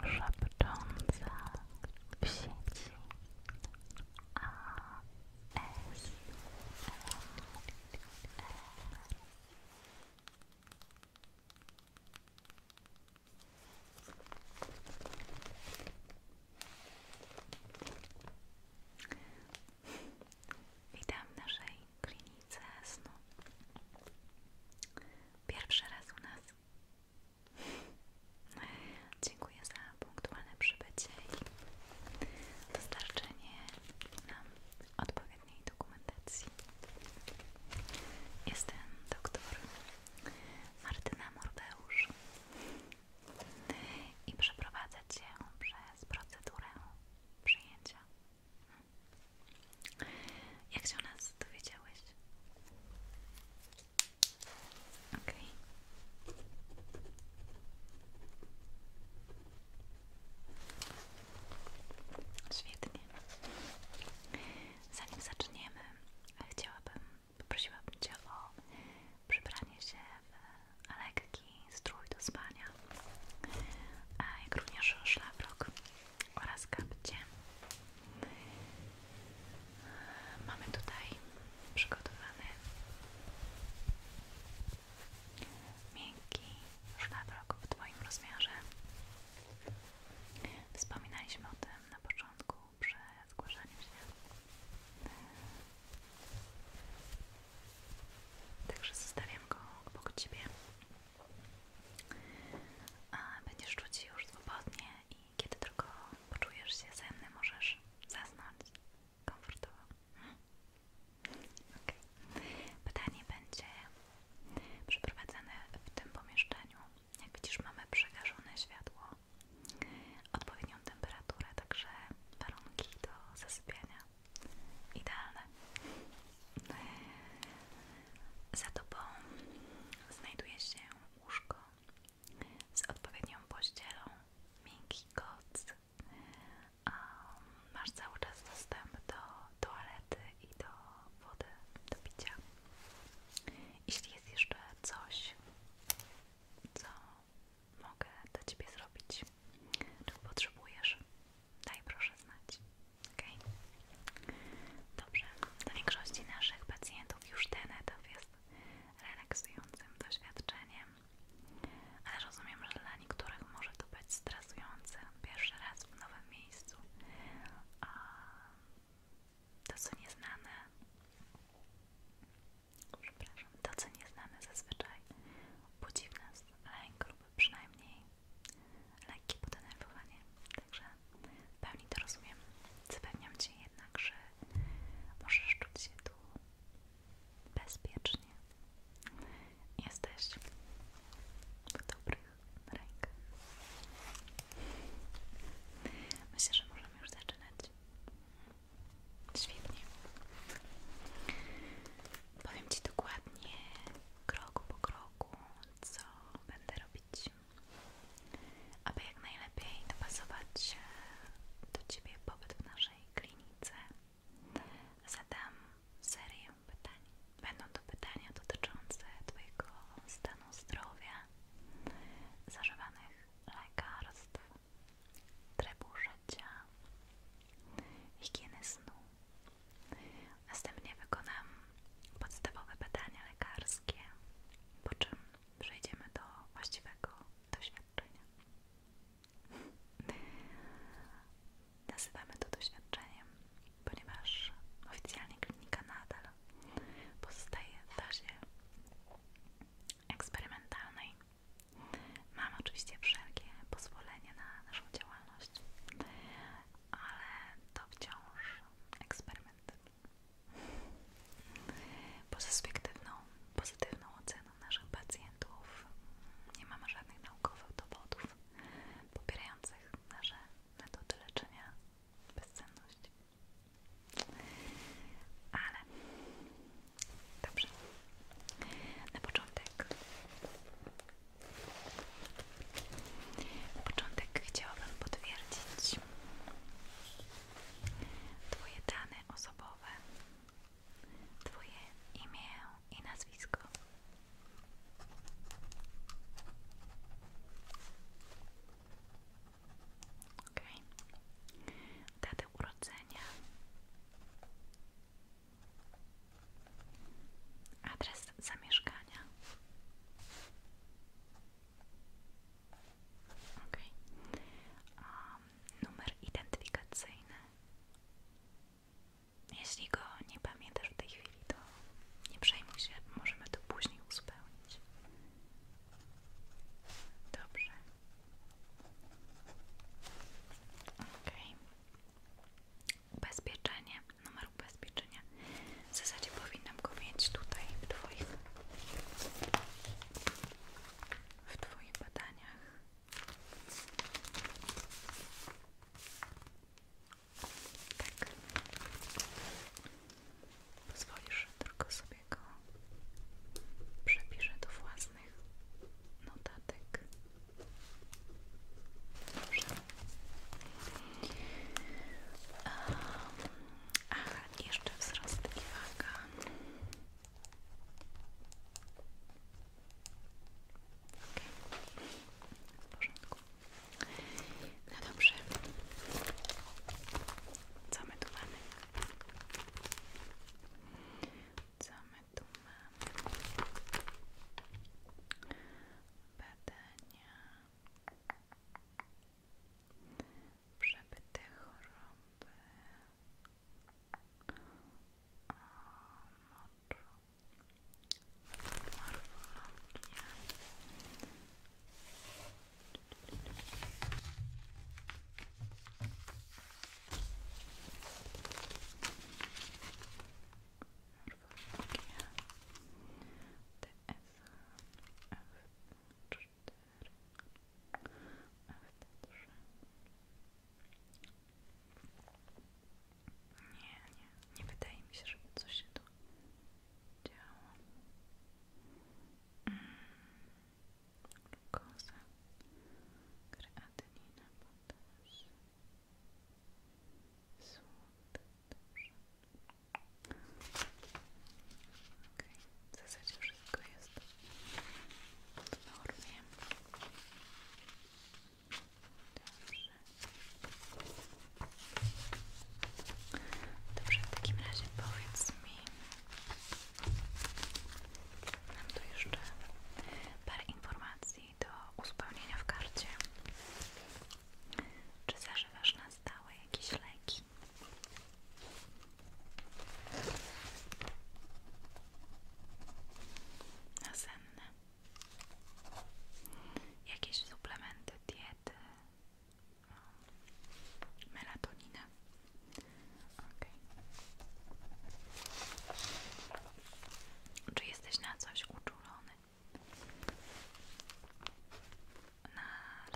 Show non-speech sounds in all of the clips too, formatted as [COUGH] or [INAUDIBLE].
Szepcząca w sieci ASMR Witam naszej klinice granicę snu. Pierwszy raz u nas. Dziękuję za punktualne przybycie i dostarczenie nam odpowiedniej dokumentacji. Jestem doktor Martyna Mordeusz i przeprowadzę Cię przez procedurę przyjęcia. Jak się o nas dowiedziałeś? Okej. Świetnie. Zanim zaczniemy, chciałabym, poprosiłabym Cię o przybranie się w lekki strój do spania, jak również szlafrok oraz kapcie. Mamy tutaj przygotowany miękki szlafrok w Twoim rozmiarze. Wspominaliśmy o tym na początku przy zgłaszaniu się. Także zostawiam go obok Ciebie. będziesz czuć się już swobodnie i kiedy tylko poczujesz się ze mną, możesz zasnąć komfortowo. Mhm. Okay. Pytanie będzie przeprowadzane w tym pomieszczeniu. Jak widzisz, mamy przegaszone światło, odpowiednią temperaturę, także warunki do zasypiania Idealne. Za tobą znajduje się łóżko z odpowiednią pościelą, miękki koc. Um, masz cały czas dostęp do toalety i do wody, do picia. Jeśli jest jeszcze coś, co mogę dla Ciebie zrobić, czego potrzebujesz, Daj proszę znać. Ok? Dobrze. Dla większości naszych pacjentów już ten etap jest relaksującym doświadczeniem, ale rozumiem, że dla niektórych może to być stresujące. Pierwszy raz w nowym miejscu. A to, co nieznane, przepraszam, to, co nieznane zazwyczaj budzi w nas lęk lub przynajmniej lekkie podenerwowanie. Także w pełni to rozumiem. Zapewniam Cię jednak, że możesz czuć się tu bezpiecznie. Jesteś w dobrych rękach. Myślę, że możemy już zaczynać. Świetnie. Powiem Ci dokładnie, krok po kroku, co będę robić, aby jak najlepiej dopasować do Ciebie pobyt w naszej klinice. Zadam serię pytań. Będą to pytania dotyczące Twojego stanu zdrowia, zażywanych lekarstw, trybu życia, higieny snu, Następnie wykonam podstawowe badania lekarskie, po czym przejdziemy do właściwego doświadczenia. [LAUGHS] Nazywamy to doświadczeniem, ponieważ oficjalnie klinika nadal pozostaje w fazie eksperymentalnej Mam oczywiście wszelkie pozwolenie na naszą działalność, ale to wciąż eksperyment. Poza subiektywną, pozytywną oceną naszych pacjentów nie mamy żadnych naukowych dowodów popierających nasze metody leczenia bezsenności. Ale dobrze. Na początek na początek chciałabym potwierdzić Twoje dane osobowe, Twoje imię i nazwisko. ok, Datę urodzenia Adres zamieszkania. Ok. numer identyfikacyjny. Jeśli go nie pamiętasz w tej chwili, to nie przejmuj się, możemy to później uzupełnić. Dobrze. Ok ubezpieczenie, numer ubezpieczenia. W zasadzie powinnam go mieć tutaj w Twoich, w twoich badaniach. Tak. Pozwolisz, że tylko sobie go przepiszę do własnych notatek. Dobrze. Um, jeszcze wzrost No dobrze. Co my tu mamy? Co my my Badania przebyte choroby o moczu nie, nie, nie wydaje mi się, żeby coś się tu działo. Mm. Glukoza, kreatynina, potaż, Złoty, dobrze. W zasadzie wszystko jest w normie. Dobrze. Dobrze, w takim razie powiedz mi, mam tu jeszcze parę informacji do uzupełnienia w karcie. Czy zażywasz na stałe jakieś leki? Nasenne. Jakieś suplementy diety? Melatoninę. Okay. Czy jesteś na coś uczulony? Na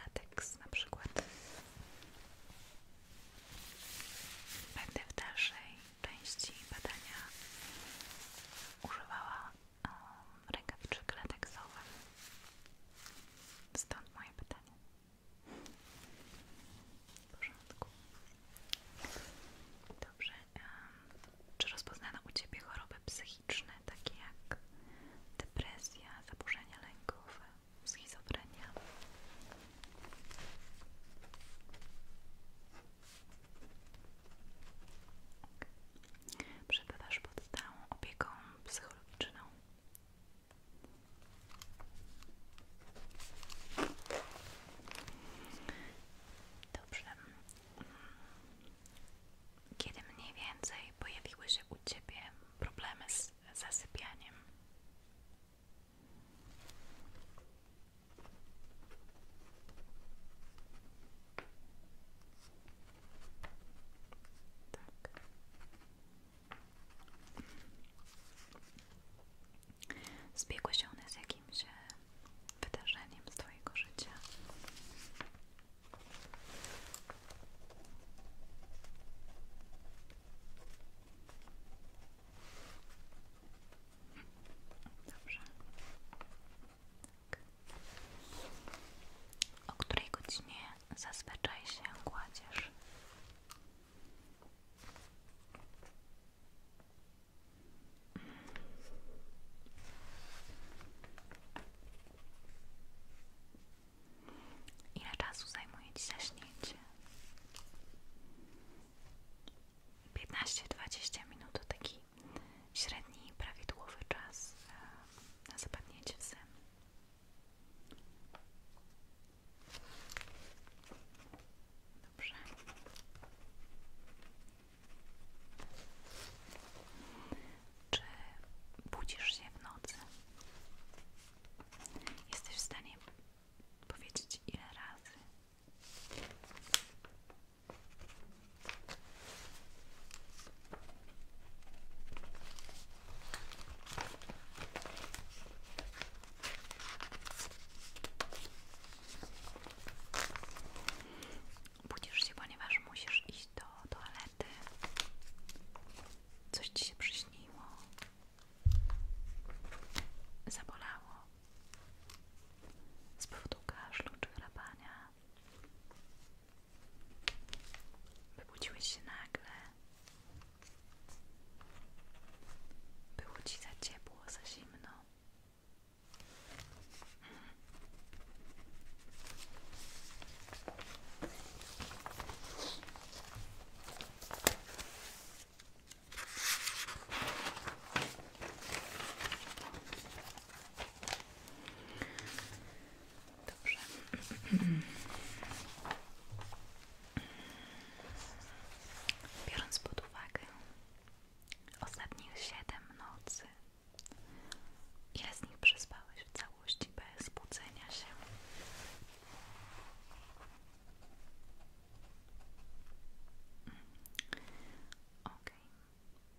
lateks na przykład. Będę w dalszej części badania używała um, rękawiczek lateksowych. Stąd moje pytanie. W porządku. Dobrze. Czy rozpoznano u Ciebie choroby psychiczne, takie jak depresja, zaburzenia lękowe, schizofrenia? Okay. Przebywasz pod stałą opieką psychologiczną. Dobrze. Kiedy mniej więcej pojawiły się u Ciebie problemy z zasypianiem? Tak. Zbiegły się one z jakimś e, wydarzeniem z Twojego życia. Dobrze. Tak. O której godzinie zazwyczaj się kładziesz? Ile czasu zajmuje Ci zaśnięcie? dwadzieścia minut to taki średni, prawidłowy czas e, na zapadnięcie w sen. Dobrze. Czy budzisz się w nocy? Jesteś w stanie powiedzieć ile razy? Budzisz się, ponieważ musisz iść do toalety. Coś ci się przyśniło. Zabolało. Z powodu kaszlu czy chrapania. Wybudziłeś się nagle. Było ci za ciepło, za zimno. Dobrze. pod uwagę ostatnich siedem nocy. Ile z nich przespałeś w całości bez budzenia się? Ok.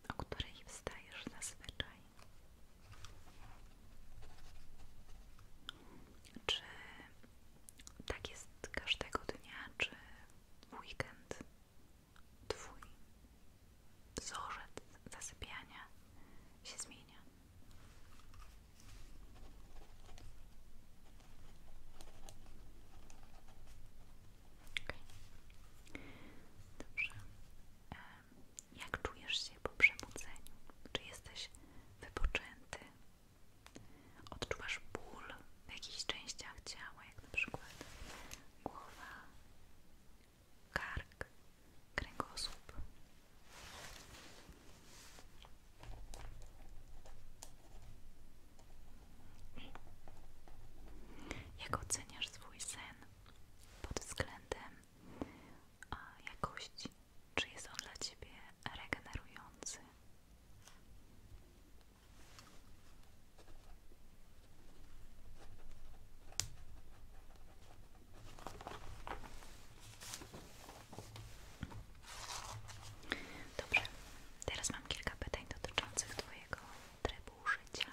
O której wstajesz zazwyczaj? Czy tak jest każdego dnia, czy weekend, twój wzorzec zasypiania się zmienia. Dobrze. Jak czujesz się po przebudzeniu? Czy jesteś wypoczęty? Odczuwasz ból w jakichś częściach ciała, jak na przykład głowa, kark, kręgosłup. Jak oceniasz swój sen pod względem jakości? Czy jest on dla Ciebie regenerujący? Dobrze, teraz mam kilka pytań dotyczących Twojego trybu życia.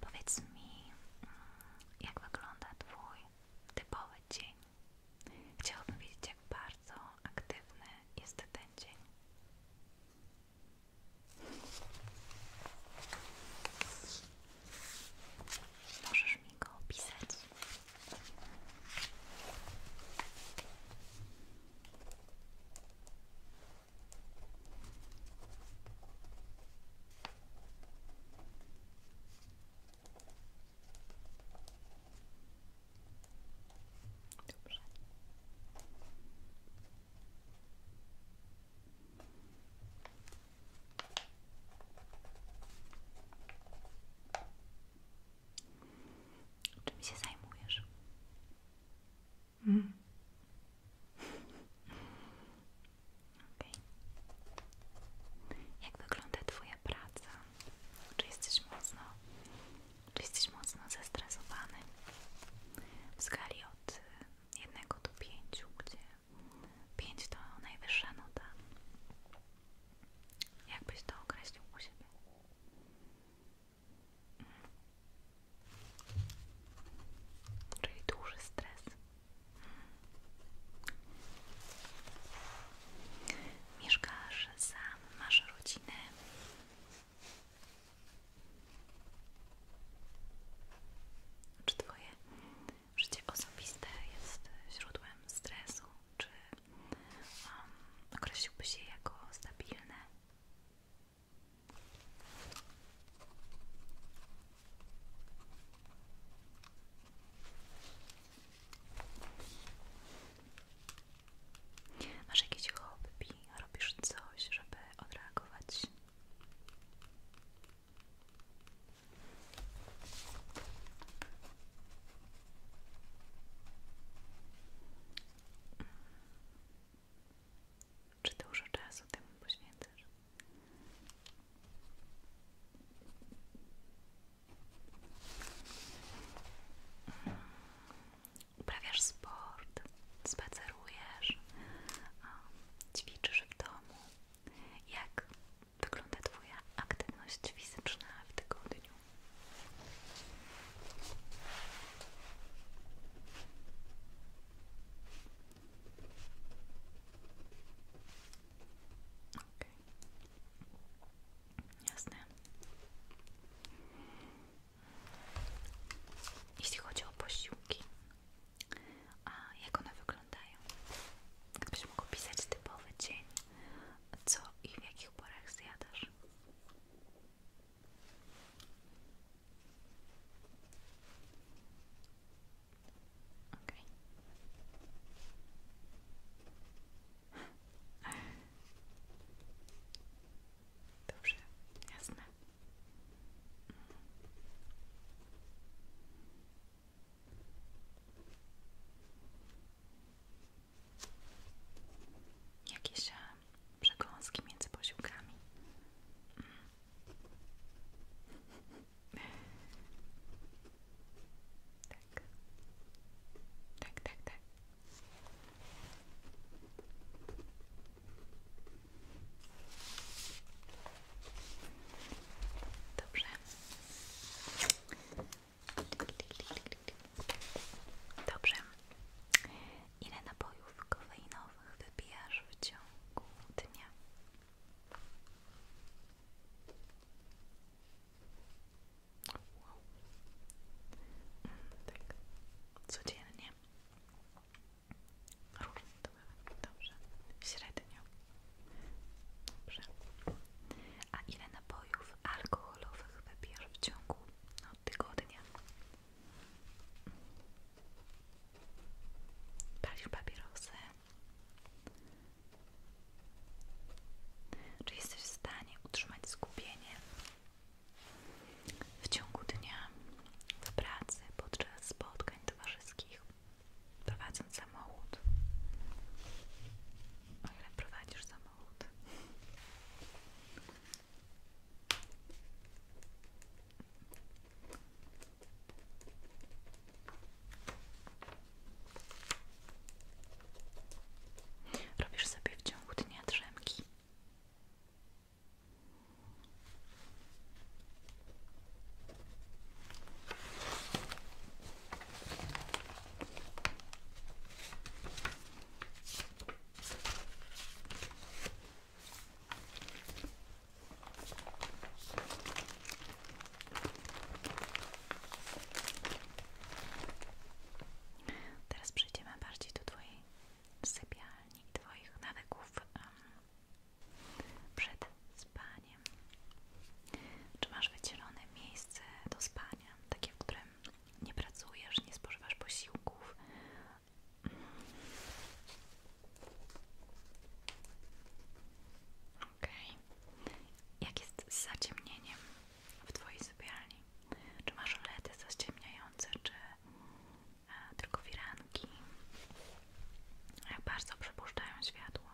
Powiedz mi, mm, jak wygląda Twój typowy dzień? Chciałabym wiedzieć, jak bardzo aktywny jest ten dzień. Możesz mi go opisać. Dobrze. mi się zajmujesz? Hmm. Okay. Jak wygląda Twoja praca? Czy jesteś mocno, czy jesteś mocno zestresowany? W skali od y, jednego do pięciu, gdzie pięć to najwyższa nota. Jak byś to określił u siebie? Mhm. Czyli duży stres. Mieszkasz sam, masz rodzinę. Czy Twoje życie osobiste jest źródłem stresu? Czy um, się jako stabilne? Masz jakieś hobby? Robisz coś, żeby odreagować? Czy dużo czasu temu poświęcasz? Uprawiasz sport, spacerujesz, um, ćwiczysz w domu. Jak wygląda Twoja aktywność fizyczna w tygodniu? Okay. Jasne. Jeśli chodzi o posiłki, a jak one wyglądają? Gdybyś mógł pisać typowy dzień, co i w jakich porach zjadasz? Okej. Okay. Dobrze, jasne. Jakieś e, przekąski między posiłkami. Tak. Tak, tak, tak. Dobrze. Dobrze. Ile napojów kofeinowych wypijasz w ciągu dnia? Wow. Mm, tak. codziennie. Różnie to bywa. Dobrze. Średnio. Dobrze. A ile napojów alkoholowych wypijasz w ciągu no, tygodnia? Palisz papierosy, czy jesteś w stanie utrzymać skupienie w ciągu dnia, w pracy, podczas spotkań towarzyskich, prowadząc samochód? O ile prowadzisz samochód? Robisz sobie w ciągu dnia drzemki. Teraz przejdziemy bardziej do Twojej sypialni i Twoich nawyków przed spaniem. Czy masz wycielone miejsce do spania, takie, w którym nie pracujesz, nie spożywasz posiłków? OK. Jak jest z zaciemnieniem w Twojej sypialni? Czy masz olety zaciemniające, czy e, tylko firanki? Jak e, bardzo przepuszczają światło?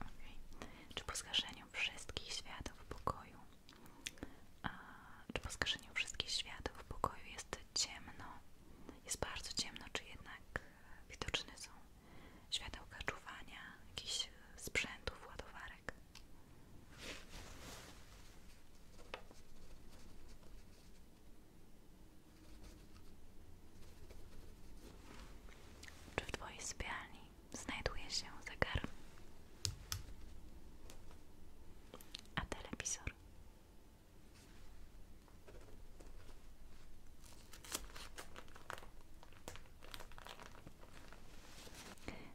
Okay. Czy po zgaszeniu wszystkich światów w pokoju? A, czy po zgaszeniu wszystkich światów w pokoju jest ciemno, jest bardzo ciemno, czy jednak widoczne są światełka czuwania, jakichś sprzętów, ładowarek. Czy w Twojej sypialni znajduje się zegar? A telewizor?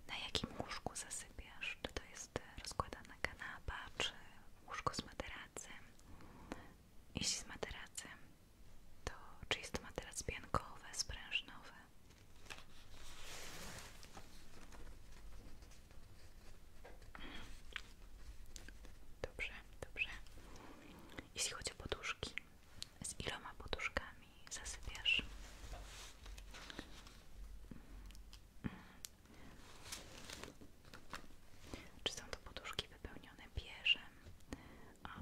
Na jakim łóżku zasypiasz? Czy to jest rozkładana kanapa, czy łóżko z materacem? Jeśli z materacem, to czy jest to materac piankowy, sprężynowy? Dobrze, dobrze. Jeśli chodzi o poduszki, z iloma poduszkami zasypiasz? Czy są to poduszki wypełnione bieżem,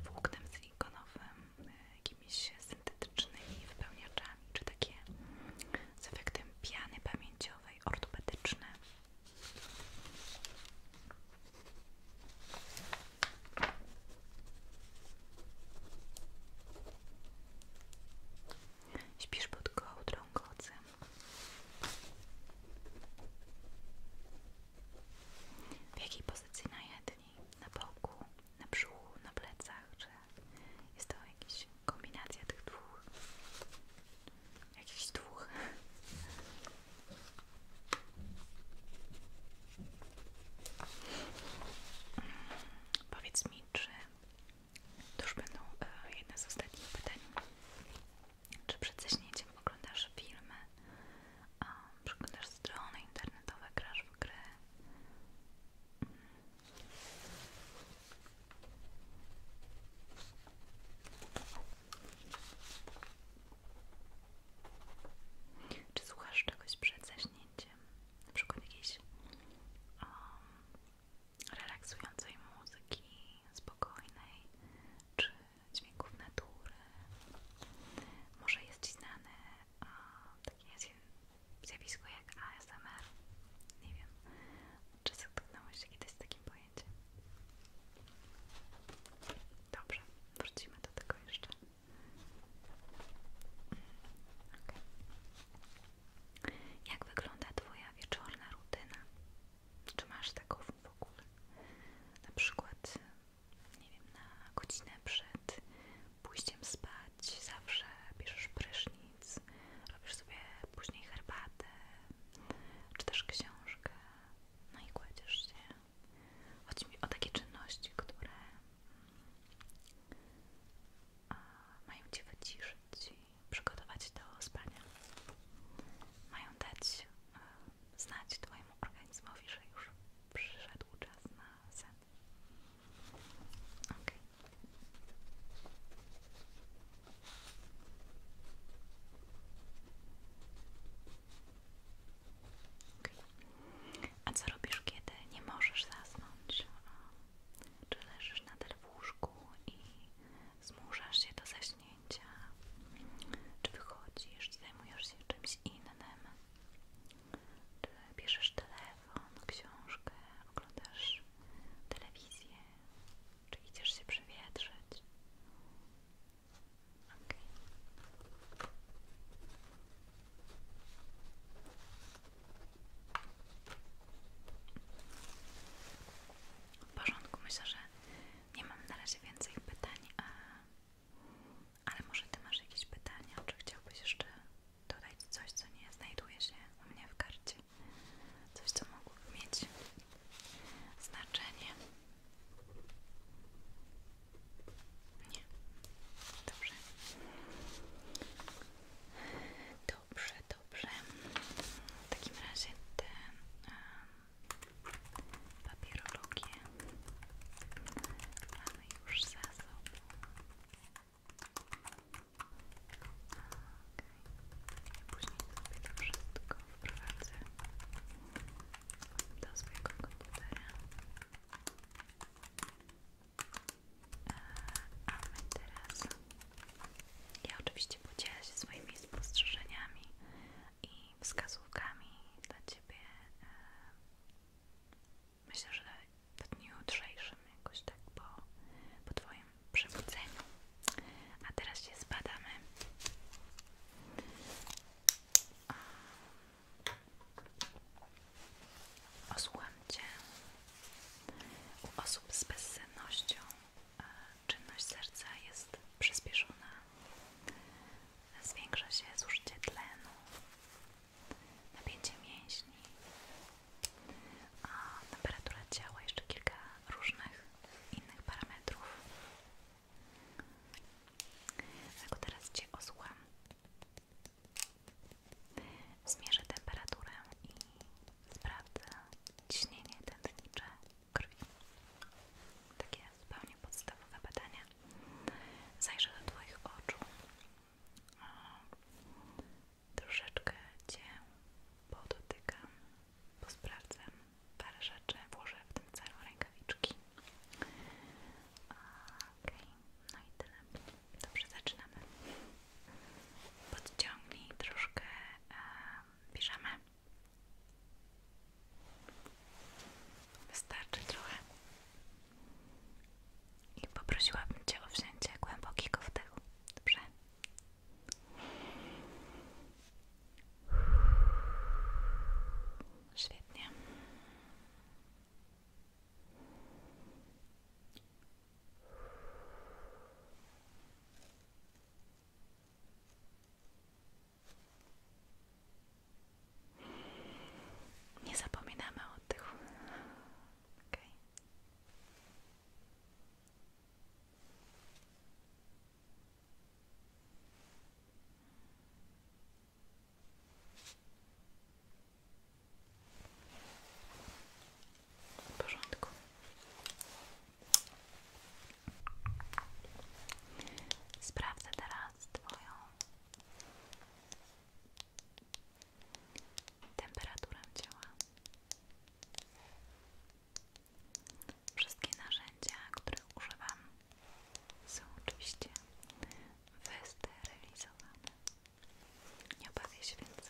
włóknem silikonowym, e, jakimiś syntetycznymi wypełniaczami, czy takie z efektem piany pamięciowej? sportowej, pod kołdrą kocy. W jakiej pozycji na jedni? Na boku, na brzuchu, na plecach? Czy jest to jakiś kombinacja tych dwóch jakiś dwóch mm, powiedz mi, czy to już będą e, jedne z ostatnich pytań czy przed zaśnięciem oglądasz filmy a przeglądasz strony internetowe, grasz w gry mm. Czy słuchasz czegoś przed zaśnięciem? Na przykład jakiejś relaksującej muzyki, spokojnej, czy dźwięków natury? Może jest Ci znane um, takie zjawisko jak ASMR? Nie wiem. Czy zetknąłeś się kiedyś z takim pojęciem? Dobrze, wrócimy do tego jeszcze. Mm, okay. Jak wygląda Twoja wieczorna rutyna? Czy masz taką w ogóle? Na przykład, nie wiem, na godzinę przed pójściem spać zawsze bierzesz prysznic robisz sobie później herbatę, czy też książkę, no i kładziesz się. Chodzi mi o takie czynności, które mają Cię wyciszyć i przygotować do spania. Mają dać znać Twojemu organizmowi, że już przyszedł czas na sen. Okay. A co robisz, kiedy nie możesz zasnąć? Czy leżysz nadal w łóżku i zmuszasz się do zaśnięcia? Czy wychodzisz, zajmujesz się czymś innym? Czy bierzesz telefon, książkę, oglądasz telewizję? Czy idziesz się przewietrzyć? Ok. W porządku, myślę, że nie mam na razie więcej pytań, a... ale może Ty masz jakieś pytania, czy chciałbyś jeszcze dodać coś, co nie znajduje się u mnie w karcie? Coś, co mogłoby mieć znaczenie. Nie. Dobrze. Dobrze, dobrze. W takim razie te um, już za sobą. Później sobie to wszystko wprowadzę do swojego komputera. E, a my teraz... Ja oczywiście podzielę się swoimi spostrzeżeniami i wskazówkami dla Ciebie. E, myślę, że w dniu jutrzejszym jakoś tak po, po Twoim przebudzeniu. A teraz się zbadamy. Osłucham Cię. U osób z bezsennością czynność serca jest przyspieszona. Zwiększa się zużycie tlenu, napięcie mięśni, a temperatura ciała, jeszcze kilka różnych innych parametrów. Dlatego tak, teraz Cię osłam. Zmierzę temperaturę i sprawdzę ciśnienie tętnicze krwi. Takie zupełnie podstawowe badania. Zajrzę do Twoich oczu troszeczkę Cię podotykam, posprawdzam parę rzeczy, włożę w tym celu rękawiczki. Okej, no i tyle. Dobrze, zaczynamy. Podciągnij troszkę piżamę. Wystarczy trochę. I poprosiłabym Cię o wzięcie głębokiego wdechu. Dobrze? Świetnie. Nie zapominamy o tych. Okay. W porządku. Sprawdzę teraz Twoją temperaturę ciała. Wszystkie narzędzia, których używam, są oczywiście wysterylizowane. Nie obawiaj się więc.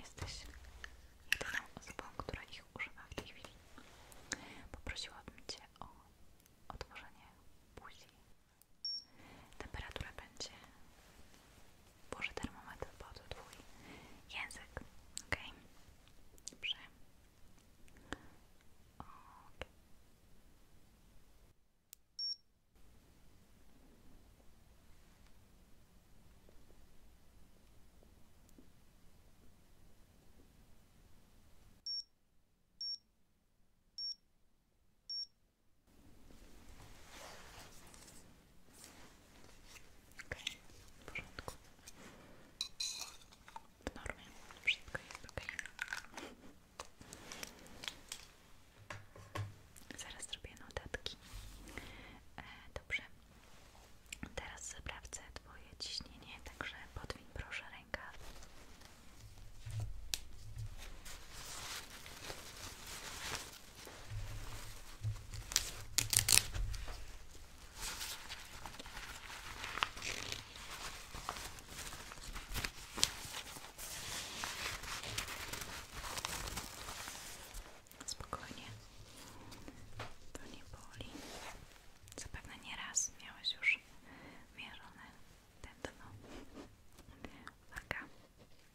Jesteś jedyną osobą, która ich używa w tej chwili. Poprosiłabym Cię o otworzenie buzi. Temperatura będzie Boże, termometr padł twój język, ok? Dobrze. OK, okay, w porządku. W normie, wszystko jest ok. Zaraz zrobię notatki. E, dobrze. Teraz sprawdzę Twoje ciśnienie, także podwiń proszę rękaw. Spokojnie, to nie boli. Zapewne raz miałeś już mierzone tętno. Uwaga.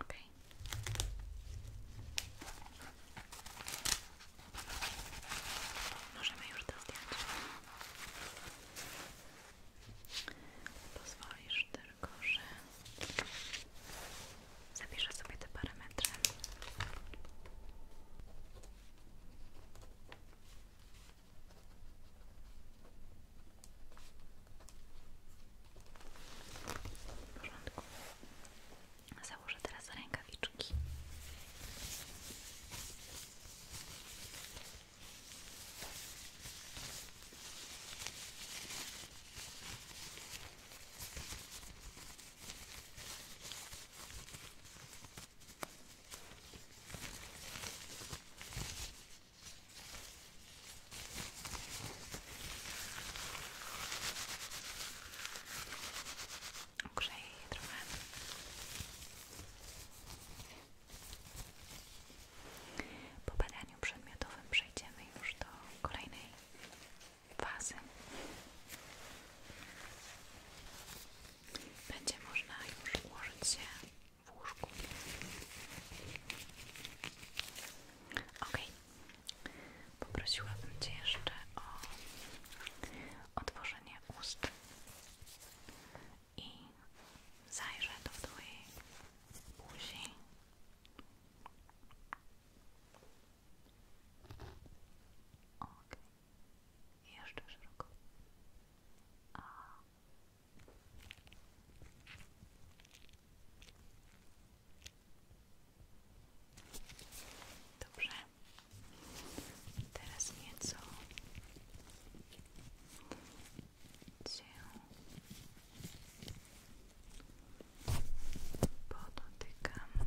Okej. Okay. Możemy już to Pozwolisz tylko, że zapiszę sobie te parametry. W Założę teraz rękawiczki. Ogrzej trochę. Po badaniu przedmiotowym przejdziemy już do kolejnej fazy będzie można już ułożyć się w łóżku. Ok, poprosiłabym Cię jeszcze o otworzenie ust i zajrzę do Twojej buzi. Okay. Jeszcze szeroko. Dobrze. Teraz nieco cię podotykam.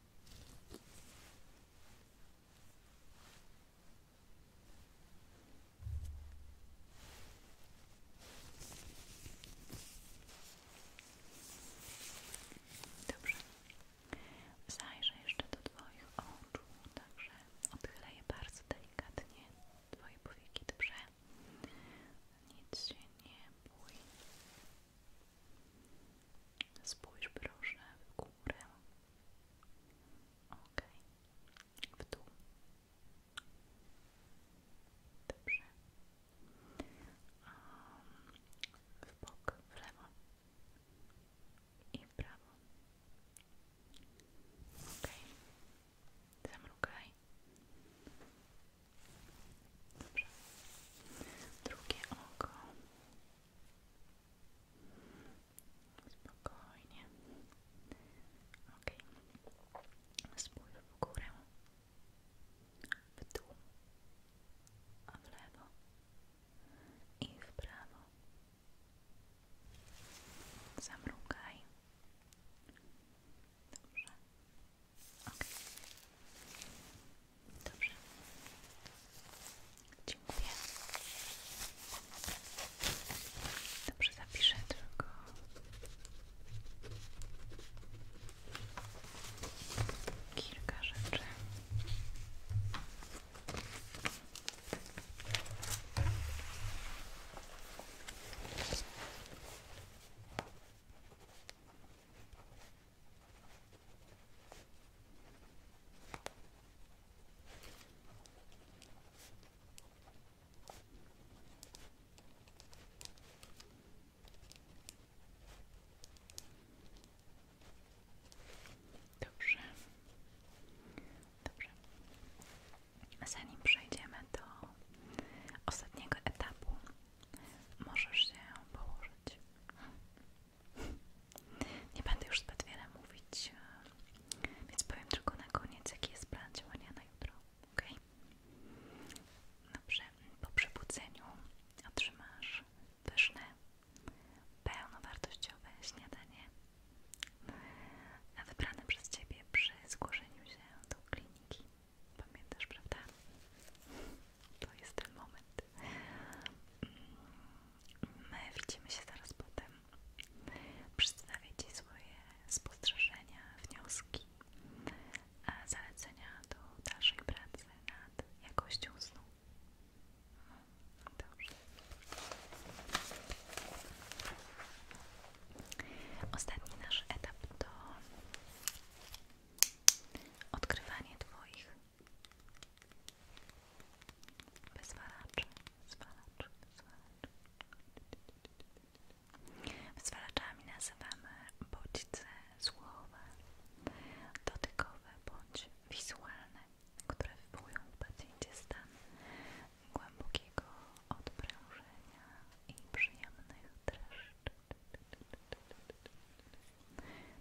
Dobrze. Zajrzę jeszcze do Twoich oczu, także odchylę je bardzo delikatnie. Twoje powieki dobrze. Nic się nie bój. Spójrz proszę w górę. Ok. W dół. Dobrze. w bok, w lewo i w prawo. Ok. Zamrukaj. Dobrze. Drugie oko. Spokojnie. Ok. Spójrz w W dół. w lewo. I w prawo. Zamrugaj. Dobrze. Okay. Dobrze. Dziękuję. Dobrze, zapiszę tylko. Kilka rzeczy. Dobrze. Dobrze. Zanim przejdziemy do ostatniego etapu, Możesz się położyć. Nie będę już zbyt wiele mówić, więc powiem tylko na koniec, jaki jest plan działania na jutro. Ok? Dobrze. Po przebudzeniu otrzymasz pyszne, pełnowartościowe śniadanie wybrane przez Ciebie przy zgłoszeniu się do kliniki. Pamiętasz, prawda? To jest ten moment. My widzimy się zaraz potem. Przedstawię Ci swoje spostrzeżenia, wnioski, a zalecenia do dalszej pracy nad jakością snu. Ostatni nasz etap to Odkrywanie Twoich wyzwalaczy, wyzwalaczy, wyzwalaczy. Wyzwalaczami nazywamy bodźce słowa, dotykowe bądź wizualne, które wywołują w pacjencie stan głębokiego odprężenia i przyjemnych dreszczy.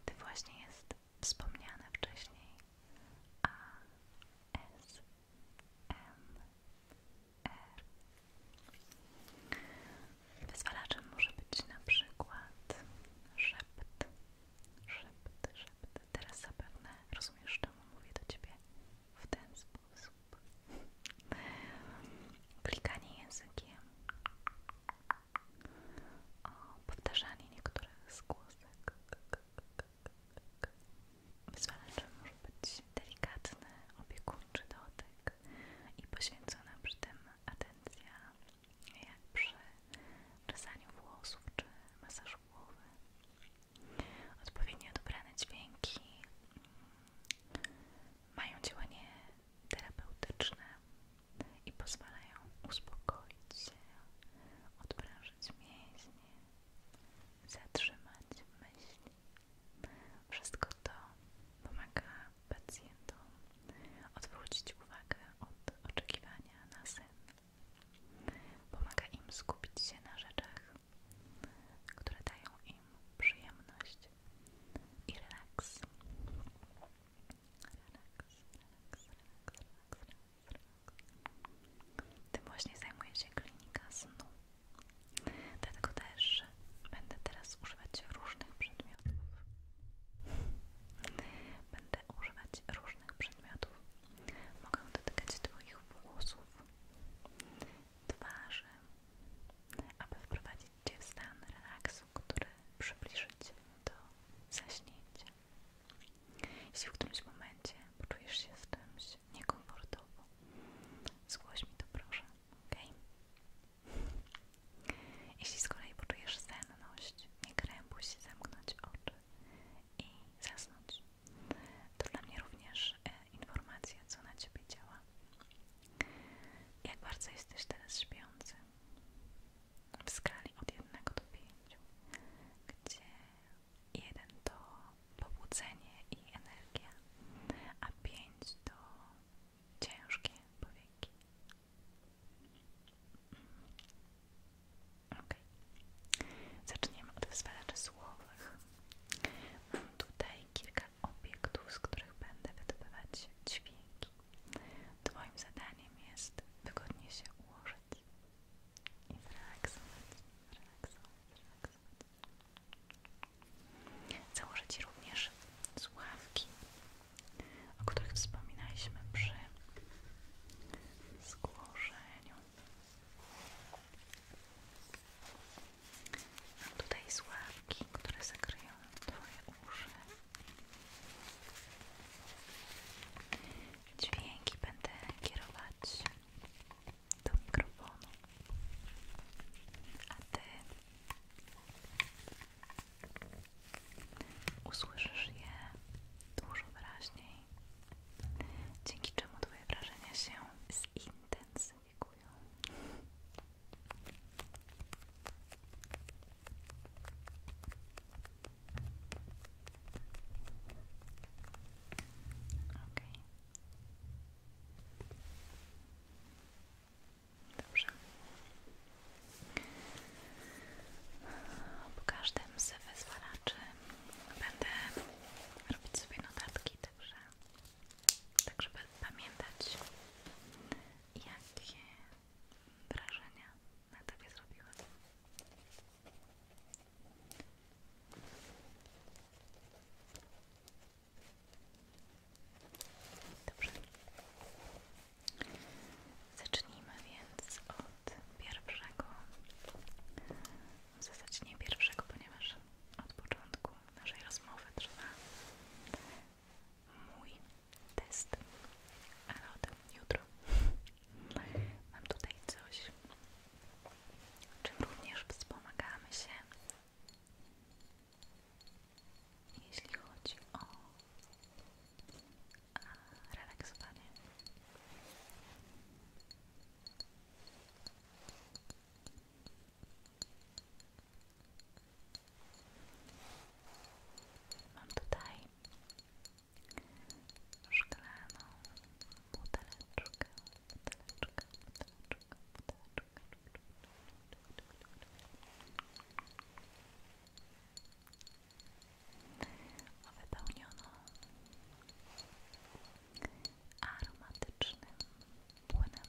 Ty właśnie jest wspomniane wcześniej A, S, M, R. Wyzwalaczem może być na przykład szept, szept, szept. Teraz zapewne rozumiesz, czemu mówię do Ciebie w ten sposób. Klikanie językiem o powtarzanie niektórych z głosek. Wyzwalaczem może być delikatny, opiekuńczy dotyk i poświęcona przy tym atencja jak przy czesaniu włosów czy masażu głowy. Odpowiednio dobrane dźwięki mm, mają działanie terapeutyczne i pozwalają uspokoić się, odprężyć mięśnie, zatrzymać myśli. Wszystko to pomaga pacjentom odwrócić uwagę od oczekiwania na sen. Pomaga im skupić się na rzeczach, które dają im przyjemność i relaks. Relax, relax, relax, relax, Tym właśnie zajmuje się klinika snu. Dlatego też będę teraz używać różnych przedmiotów. Będę używać różnych przedmiotów. Mogę dotykać Twoich włosów, twarzy, aby wprowadzić wejdziecie w stan relaksu, który przybliży Cię do zaśnięcia. Jeśli w którymś momencie poczujesz się z czymś niekomfortowo, zgłoś mi to proszę, ok? Jeśli z kolei poczujesz senność, nie krępuj się, zamknąć oczy i zasnąć. To dla mnie również e, informacja, co na Ciebie działa. Jak bardzo jesteś teraz śpiący? w skali od 1 do 5, gdzie 1 to pobudzenie i energia, a 5 to ciężkie powieki. Ok, zaczniemy od wyzwalaczy słowych. Mam tutaj kilka obiektów, z których będę wydawać dźwięki. Twoim zadaniem jest wygodnie się ułożyć i zrelaksować, zrelaksować, zrelaksować. Założyć również słuchawki, o których wspominaliśmy przy zgłoszeniu. Mam tutaj słuchawki, które zakryją twoje uszy. Dźwięki będę kierować do mikrofonu, a ty usłyszysz je dużo wyraźniej, dzięki czemu twoje wrażenia się zintensyfikują. Okay. Dobrze. Po każdym z wyzwalaczy będę robić sobie notatki, także, tak żeby pamiętać jakie wrażenia na tobie zrobiły. Dobrze. Zacznijmy więc od pierwszego. W zasadzie nie pierwszego, ponieważ od początku naszej rozmowy trwa mój test, ale o tym jutro. Mam tutaj coś, czym również wspomagamy jeśli chodzi o relaksowanie. Mam tutaj szklaną buteleczkę, buteleczkę, buteleczkę, buteleczkę. O wypełnioną aromatycznym płynem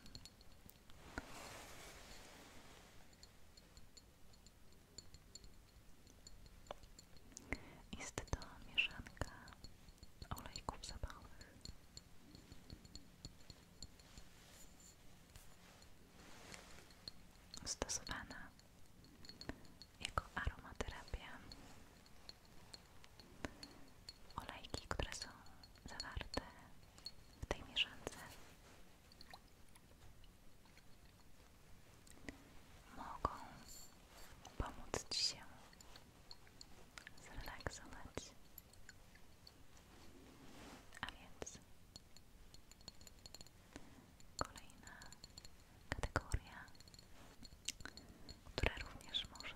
jest to mieszanka olejków zapachowych. Stosowana jako aromaterapia. Olejki, które są zawarte w tej mieszance mogą pomóc Ci się zrelaksować. A więc kolejna kategoria, która również może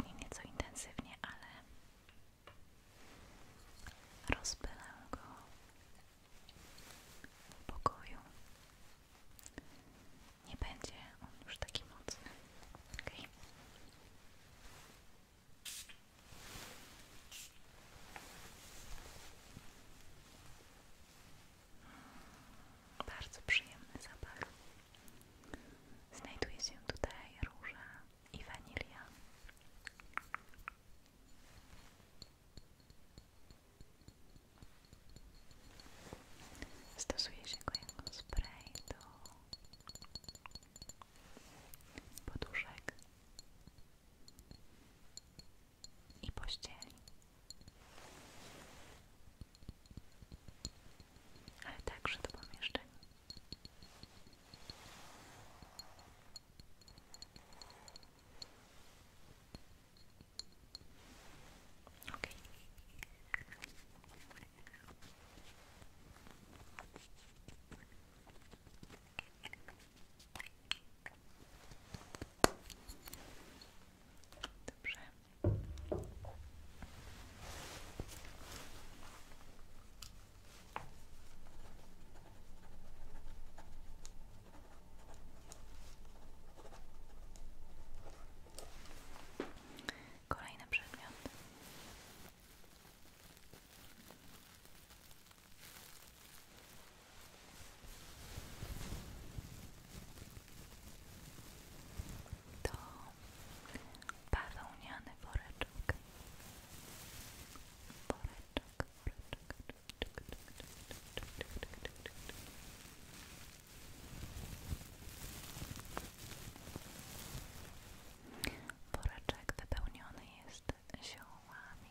W nieco intensywnie, ale rozpylę go w pokoju. Nie będzie już taki mocny. Bardzo przyjemny zapach. Znajduje się tutaj róża i wanilia. Stosuje się go jako spray do poduszek i pościeli ale także do pomieszczeń. Ok. Dobrze. Kolejny przedmiot to bawełniany woreczek. Woreczek, woreczek. Woreczek wypełniony jest ziołami.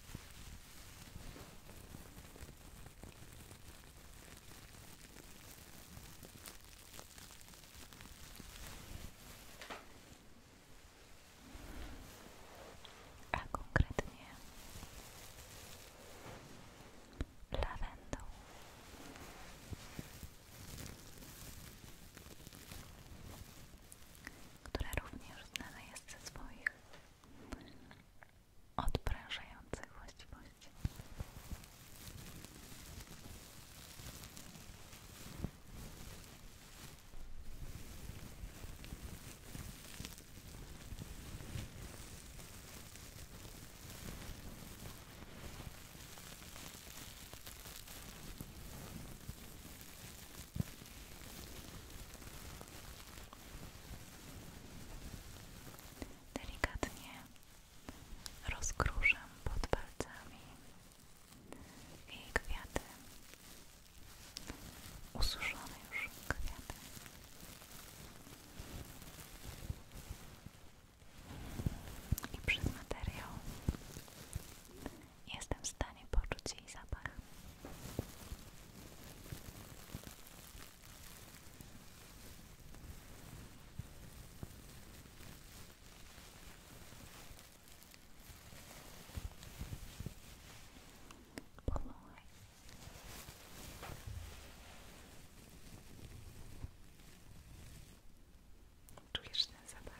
a konkretnie lawendą. Która również znana jest ze swoich odprężających właściwości. Delikatnie rozkruszę pod palcami i kwiaty, ususzone już kwiaty. I przez materiał Jestem w stanie poczuć jej zapach. Czujesz ten zapach?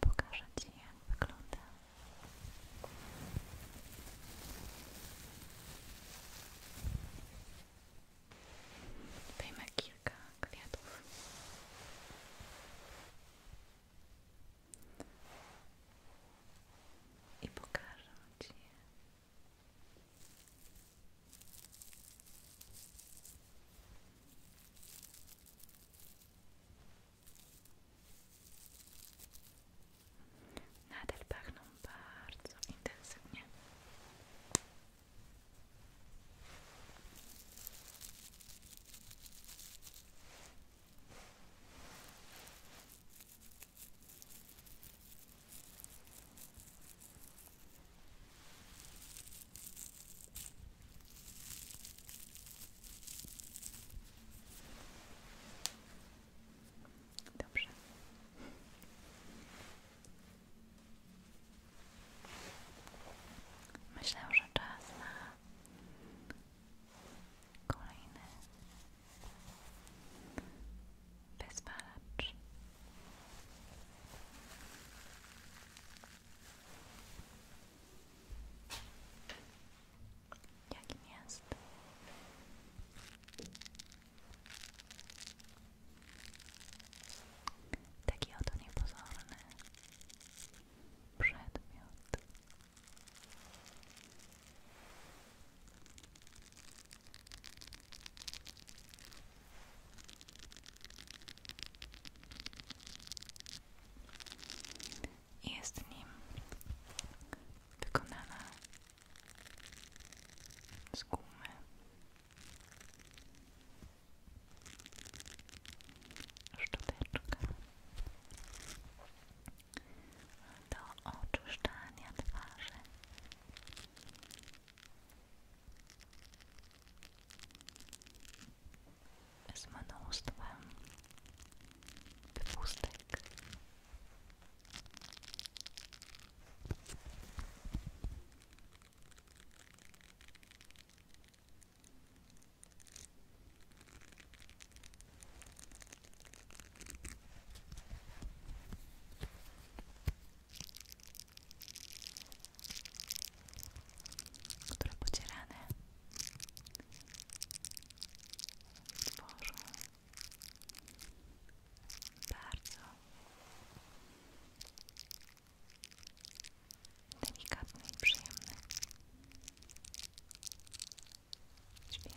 Pokażę Ci jak wygląda. Wyjmę kilka i pokażę Ci Nadal pachną bardzo intensywnie. Dobrze. Myślę, że czas na Kolejny wyzwalacz. Jakim jest? Taki oto niepozorny. przedmiot. Jest nim wykonana z gumy szczoteczka do oczyszczania twarzy. Z mnóstwem wypustek które pocierane tworzą bardzo delikatny i przyjemny dźwięk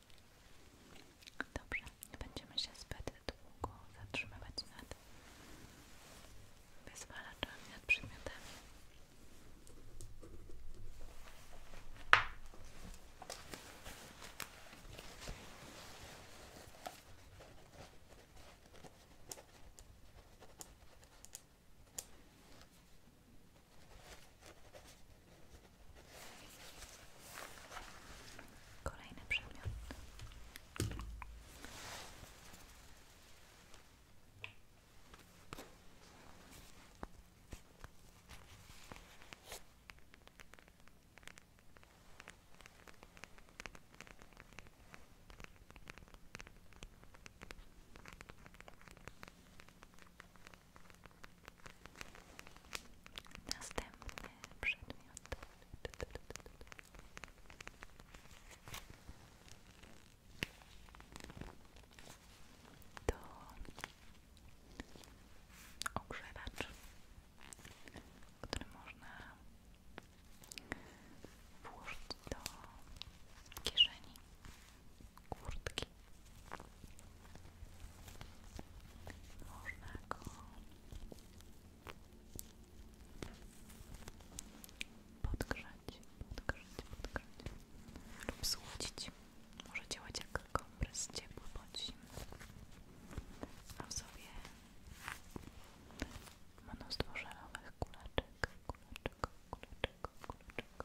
Dobrze, nie będziemy się zbyt długo zatrzymywać nad wyzwalaczami, nad przymiotami. Dobrze, Kolejny przedmiot. Następny przedmiot. To ogrzewacz, który można włożyć do kieszeni kurtki można go podgrzać, podgrzać, podgrzać lub słodzić. Może działać jak kompres ciepły bądź zimny. Mam sobie mnóstwo żelowych kuleczek, kuleczek, kuleczek, kuleczek, kuleczek,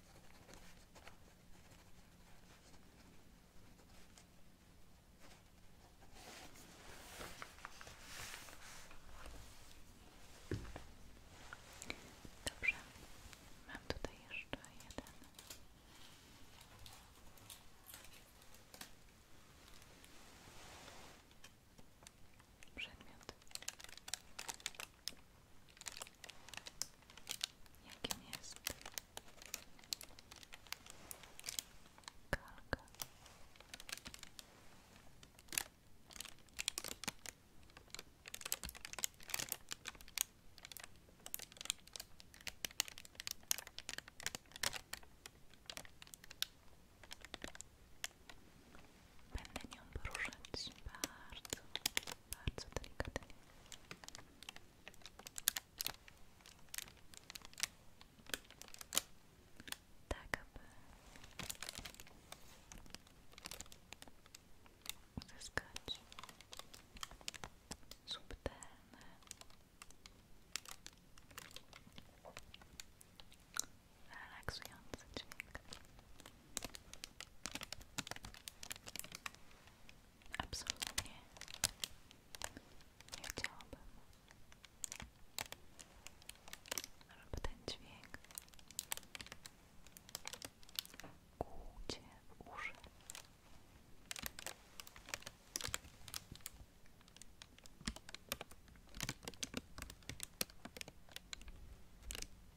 Dobrze, mam tutaj jeszcze jeden. Przedmiot jakim jest kalka. Będę nią poruszać bardzo bardzo delikatnie. Tak, aby uzyskać subtelny relaksujący dźwięk. Absolutnie nie chciałabym, żeby ten dźwięk kłuł Cię jest Jeśli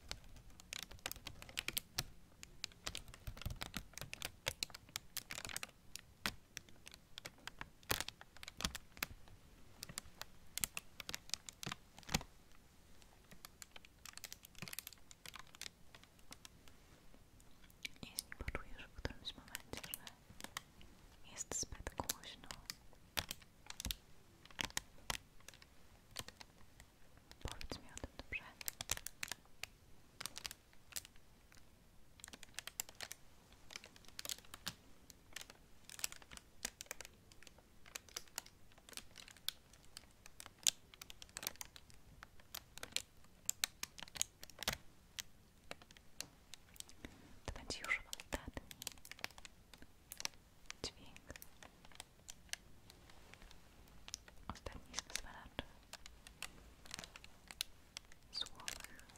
poczujesz w tym momencie, że jest zbyt głośno, Powiedz mi o tym, dobrze? To będzie dźwięk ostatni z wyzwalaczy słownych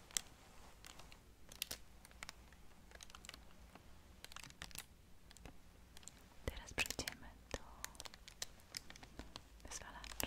teraz przejdziemy do wyzwalaczy